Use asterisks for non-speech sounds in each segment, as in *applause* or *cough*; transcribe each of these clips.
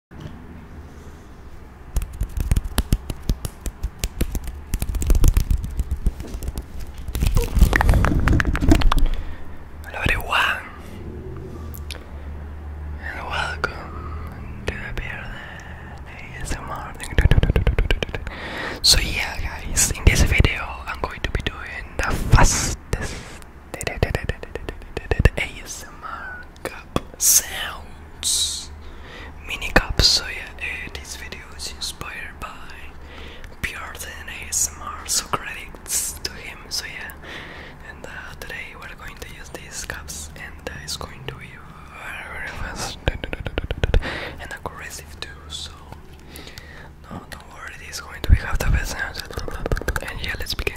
Hello everyone and welcome to the beer So yeah guys, in this video I'm going to be doing the fastest ASMR cup sounds mini cups, So yeah, this video is inspired by Bjorn ASMR, so credits to him. So yeah, and uh, today we're going to use these cups, and uh, it's going to be very, very fast *laughs* and aggressive too. So no, don't worry, it's going to be half the best. And yeah, let's begin.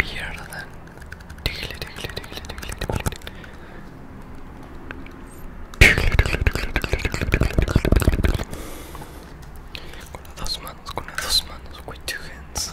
Bir yerden dikili dikili dikili dikili dikili Con las dos manos, con las dos manos, with two hands.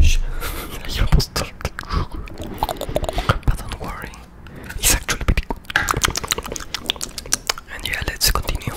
Shh. *laughs* almost started. But don't worry. It's actually pretty good. And yeah, let's continue.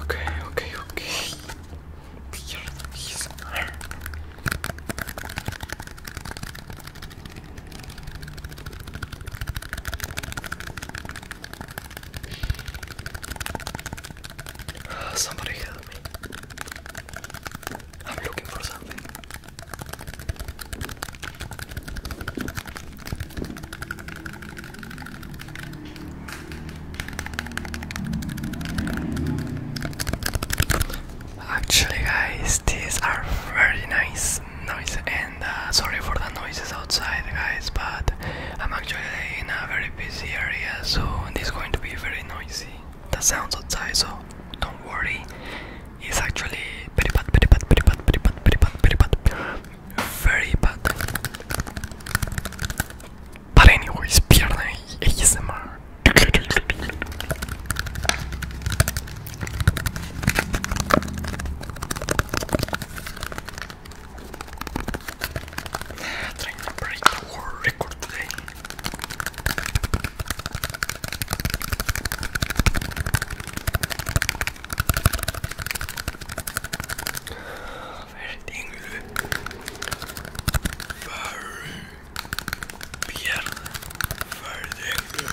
Okay, okay, okay. Somebody help me. I'm looking for something. Actually, guys, these are very nice noises, and uh, sorry for the noises outside, guys. But I'm actually in a very busy area, so this is going to be very noisy. The sounds outside, so don't worry. It's actually very bad, very bad, very bad, very bad, very bad, very bad, very bad. But anyways, pierna ASMR trying to break the world record today. Very dangerous. Very weird. Very dangerous.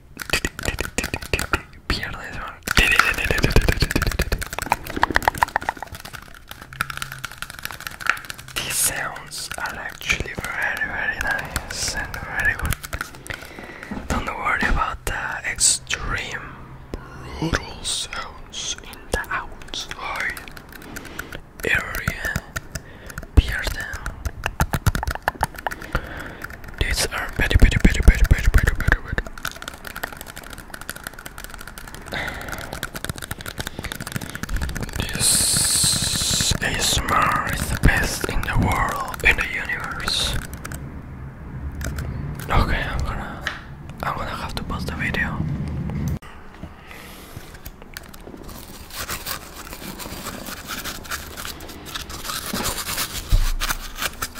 These sounds are actually very, very nice and very good. Don't worry about the extreme brutal sounds in the outside area. Pierden. These are better, better, better, better, better, better, better, better. This ASMR is the best in the world, in the universe. Okay, I'm gonna, I'm gonna have to pause the video.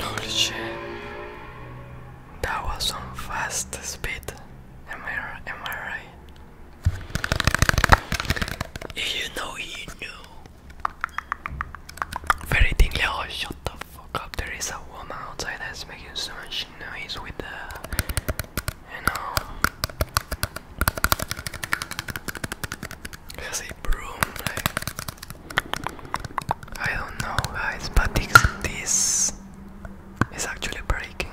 Holy shit. That was on fast speed. Am I, am I right? You know, you know. Very dingy. shut the fuck up. There is a woman outside that's making so much noise with the you know, it a broom. Like I don't know, guys, but this, this is actually breaking.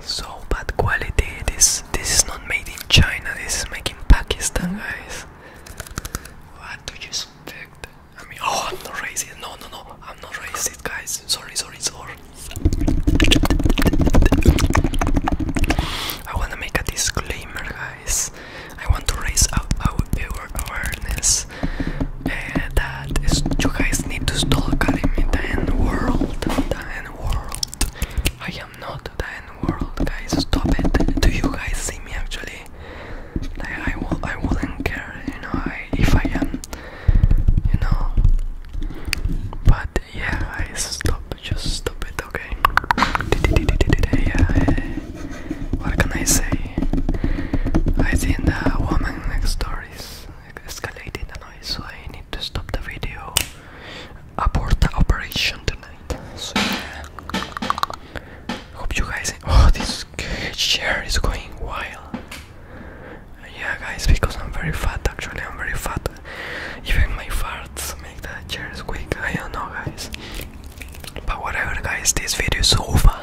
So bad quality. This this is not made in China. This is made in Pakistan, mm-hmm. guys. What do you expect? I mean, oh, I'm not racist. No, no, no. I'm not racist, guys. Sorry, sorry, sorry. I want to make a disclaimer, guys. I want to raise our, our awareness uh, that is, you guys need to stop calling me the N world. The End world. I am not the N world, guys. Stop it. Do you guys see me actually? I will, I wouldn't care, you know. I, if I am you know. But yeah, I stop. Just stop it, okay? Yeah. What can I say? I think the woman next door is escalating the noise, so I need to stop the video. Abort the operation tonight. So yeah. Hope you guys. Oh, this chair is going wild. Yeah, guys, because I'm very fat. Actually, I'm very fat. Even my farts make the chairs squeak. I don't know, guys. But whatever, guys. This video is over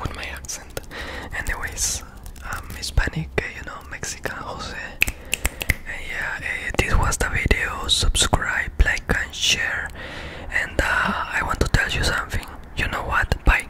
with my accent. Anyways, I'm Hispanic. Eh, you know, Mexican Jose. And yeah, uh, this was the video. Subscribe, like, and share. And uh, I want to tell you something. You know what? Bye.